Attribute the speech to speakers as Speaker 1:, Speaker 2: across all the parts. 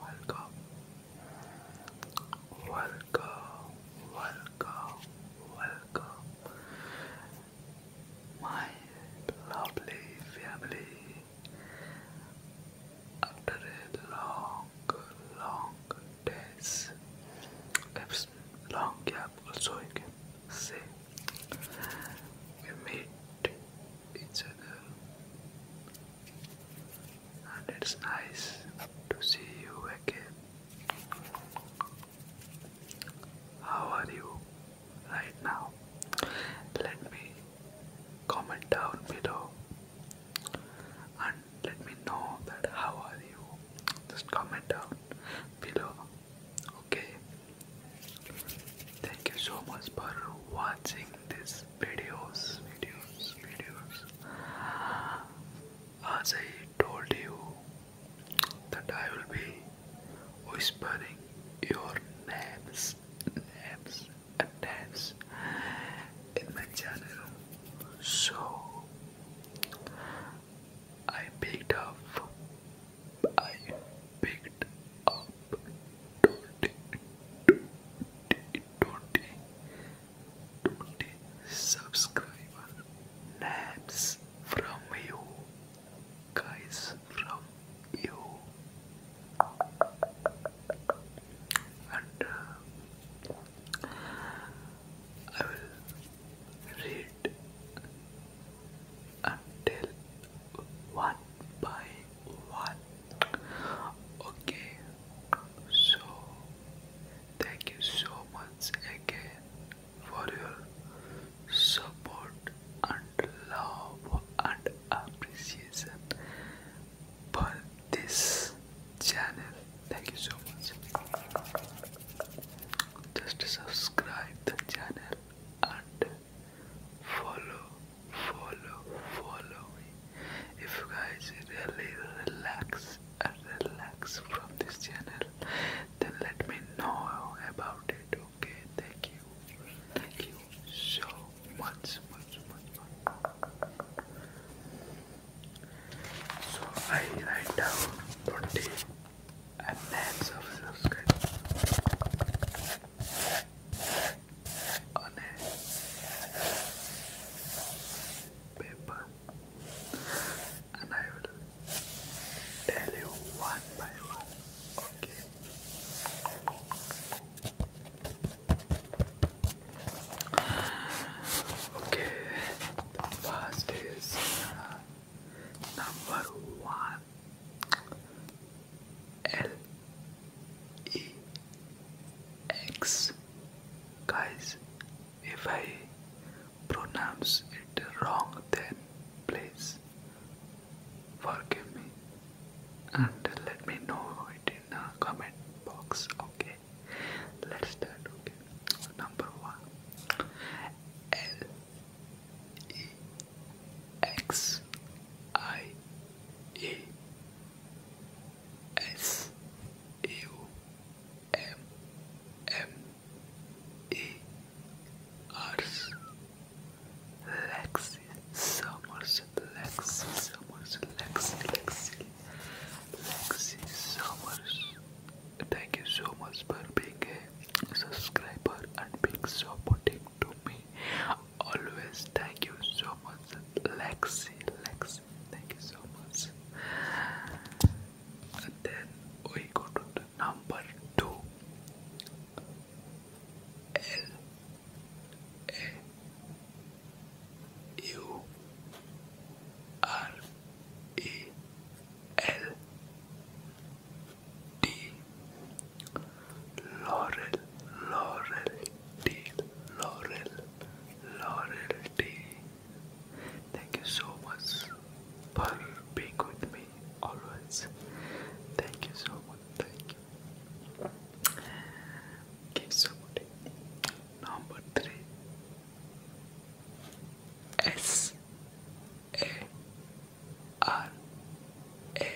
Speaker 1: Welcome, welcome, welcome, welcome, my lovely family. After a long, long days, long gap also again say meet each other and it's nice to see you again. How are you right now? Let me comment down below and let me know that how are you. Just comment down below okay thank you so much for watching this videos videos videos as I told you that I will be whispering your names names and names in my channel so I picked up I picked up twenty, twenty, twenty, twenty subscriber names from you guys from you and uh, I will read until one by one. Okay, so thank you so much again for your support and love and appreciation for this channel. Thank you so much just subscribe the channel and follow follow follow if you guys really relax and relax from this channel then let me know about it okay thank you thank you so much much much, much. so I write down 20 and then service subscribe on a paper and I will tell you one by one. Okay. Okay the first is uh, number one L E X. Guys, if I pronounce it wrong, then please forgive me and let me know it in the comment box. Okay let's start. Okay, number one. L E X I E S U M M E R S Lexi Summers Lexi Summers Lexi Lexi Summers. Thank you so much for being a subscriber and being supporting to me. Always thank you so much, Lexi. Lexi, thank you so much. And then we go to the number two. U R E L D Laurel Laurel D Laurel Laurel D Thank you so much for being with me always. Thank you so much. Thank you. Keep supporting. Number three S A R A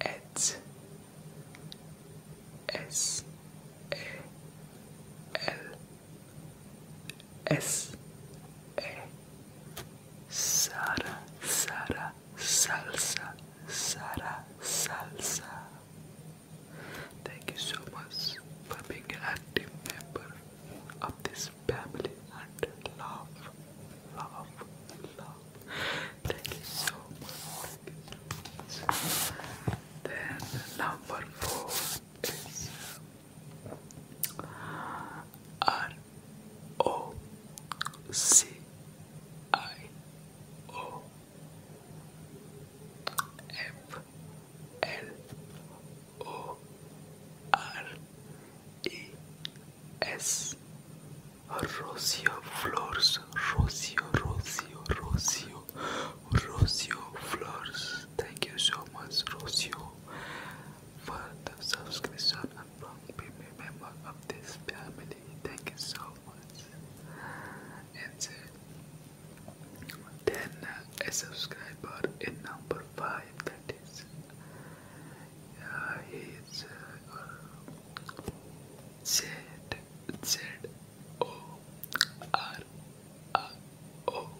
Speaker 1: H S A L S A Sara Sara Salsa Sara Salsa Thank you so much for being an active member of this family and love, love, love. Thank you so much. You so much. Then number four is R O C I O F L O R E S Rocio Flores Rocio Rocio Rocio Rocio Flores Thank you so much Rosio, for the subscription and being a member of this family. Thank you so months and Then a subscriber in number 5 that is, uh, he uh, uh, oh, uh, oh,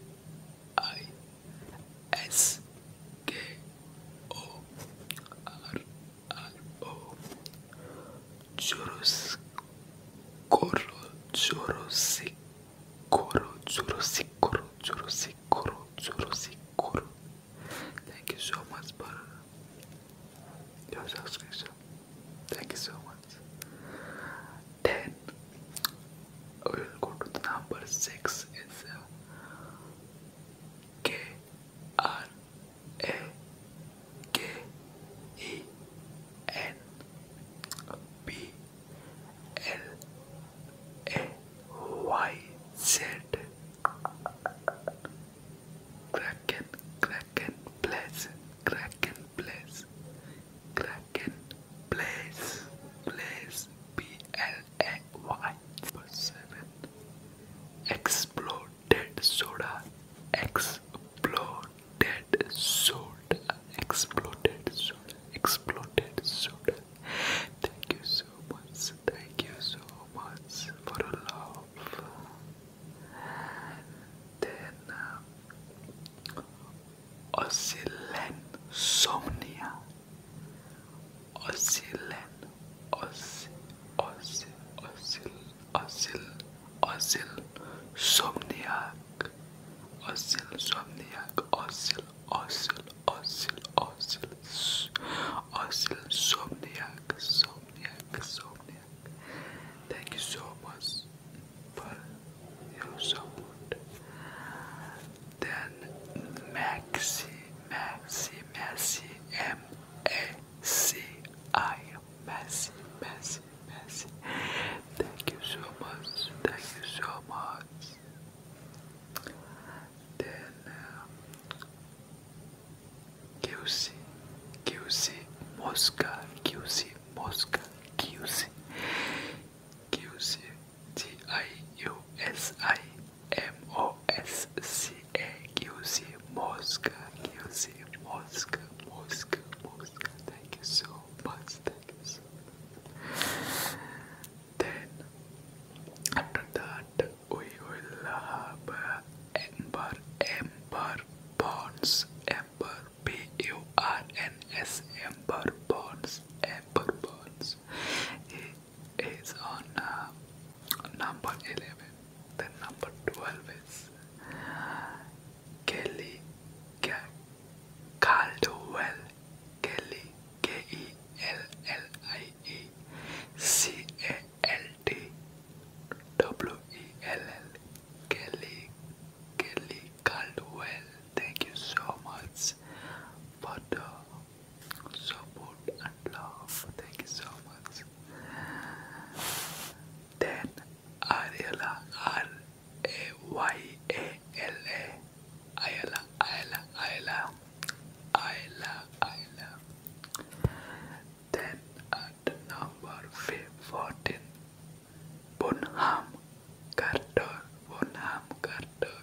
Speaker 1: oh, churros, coro, churros, coro, churros, Thank you so much, Butter. Your subscription. Thank you so much. Then we'll go to the number six. It's uh, K R L K E N B L A Y Z Kraken, Kraken, place, Kraken, place, Kraken, place, place, B L A Y. seven, exploded soda, X Exploded soda. Exploded soda. Exploded soda. Thank you so much. Thank you so much for the love. Then uh, Somnia. Oscilan Oscil Oscil Oscil Asil, asil, somniac. Asil, somniac, asil, asil, asil, asil, asil, somniac, somniac, somniac. Thank you so much for your support. Then Maxi, Maxi, Maxi, M A C I Thank you so much. Thank you so much. Then um, uh, QC QC Mosca QC Mosca QC QC M-O-S-C-A-Q-C, Mosca, Q-C, Mosca, Mosca, Mosca. Thank you so much, thank you Then, after that, we will have Ember, Ember Bonds, Ember, B-U-R-N-S, Ember Bonds, Ember Bonds is on uh, number 11. The number 12 is Kelly K Caldwell. Kelly K E L L I E C A L D W E L L Kelly Kelly Caldwell. Thank you so much for the support and love. Thank you so much. Then Ariela R A Y A L A Ayala Ayala Ayala Ayala Ayala. Then at number fourteen, Bonham Carter Bonham Carter.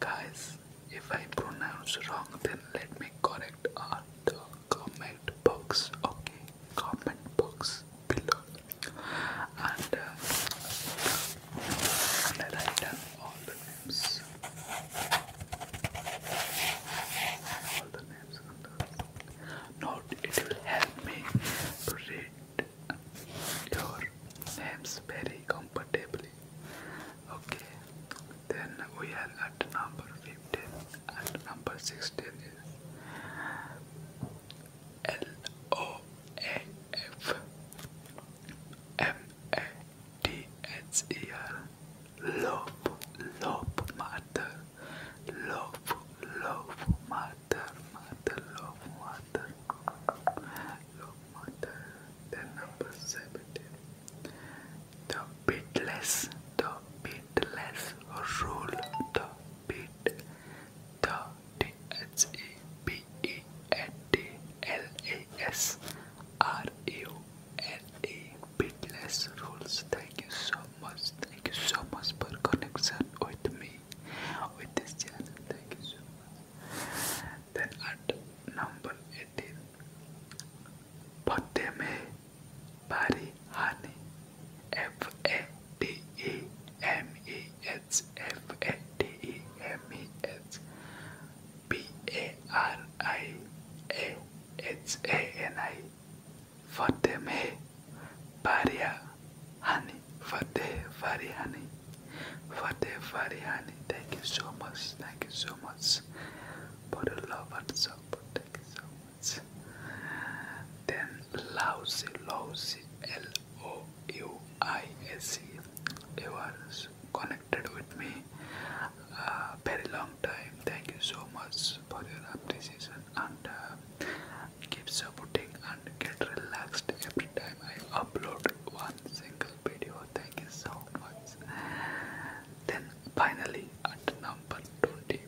Speaker 1: Guys, if I pronounce wrong, then let me correct on the comment box. Okay, comment box below. And, uh, I done all the names. All the names. Note it will help me to read your names very comfortably Okay, then we are at number 15 and number 16 is L O A F M A T E R. Love, love, mother Love, love, mother, mother, love, mother the number 17. The bitless, the bitless rule, the bit, the T H E B E N D L A S R U N E bitless rules. Thank you so much. Thank you so much for connecting with me with this channel. Thank you so much. then at number 18 Fatte mein bari hani F A T E M E H F A T E M E H B A R I A H A N I Fatte mein bari hani Fatte bari hani Fateh Farihani, thank you so much, thank you so much for the love and support, thank you so much. Then Lousy, Lousy, L-O-U-I-S-E, you are connected with me uh, very long time, thank you so much for your appreciation and uh, keep supporting get relaxed every time I upload one single video. Thank you so much. Then finally at number 20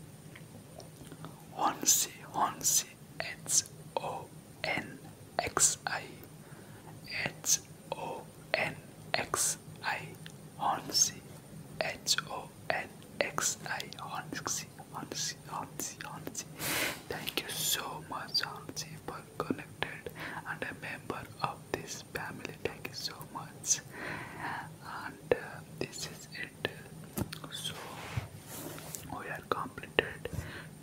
Speaker 1: Honsi Honsi H O N X I H O N X I Honsi H O N X I Honsi Honsi Auntie, Auntie, Thank you so much, Auntie, for connected and a member of this family. Thank you so much. And uh, this is it. So we are completed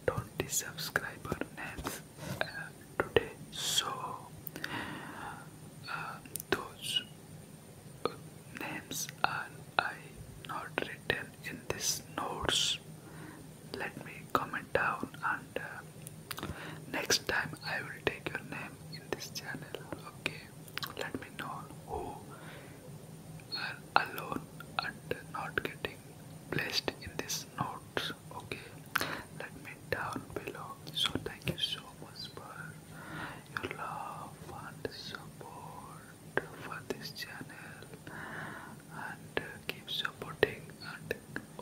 Speaker 1: 20 subscriber names uh, today. So uh, those names are I not written in this notes let me comment down and uh, next time i will take your name in this channel okay let me know who are alone and not getting placed in this notes okay let me down below so thank you so much for your love and support for this channel and uh, keep supporting and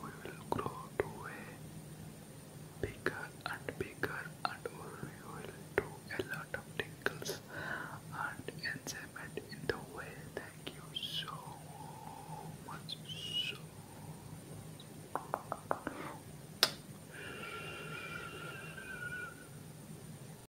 Speaker 1: we will grow to a bigger and bigger and we will do a lot of tinkles and enjoyment in the way. Thank you so much.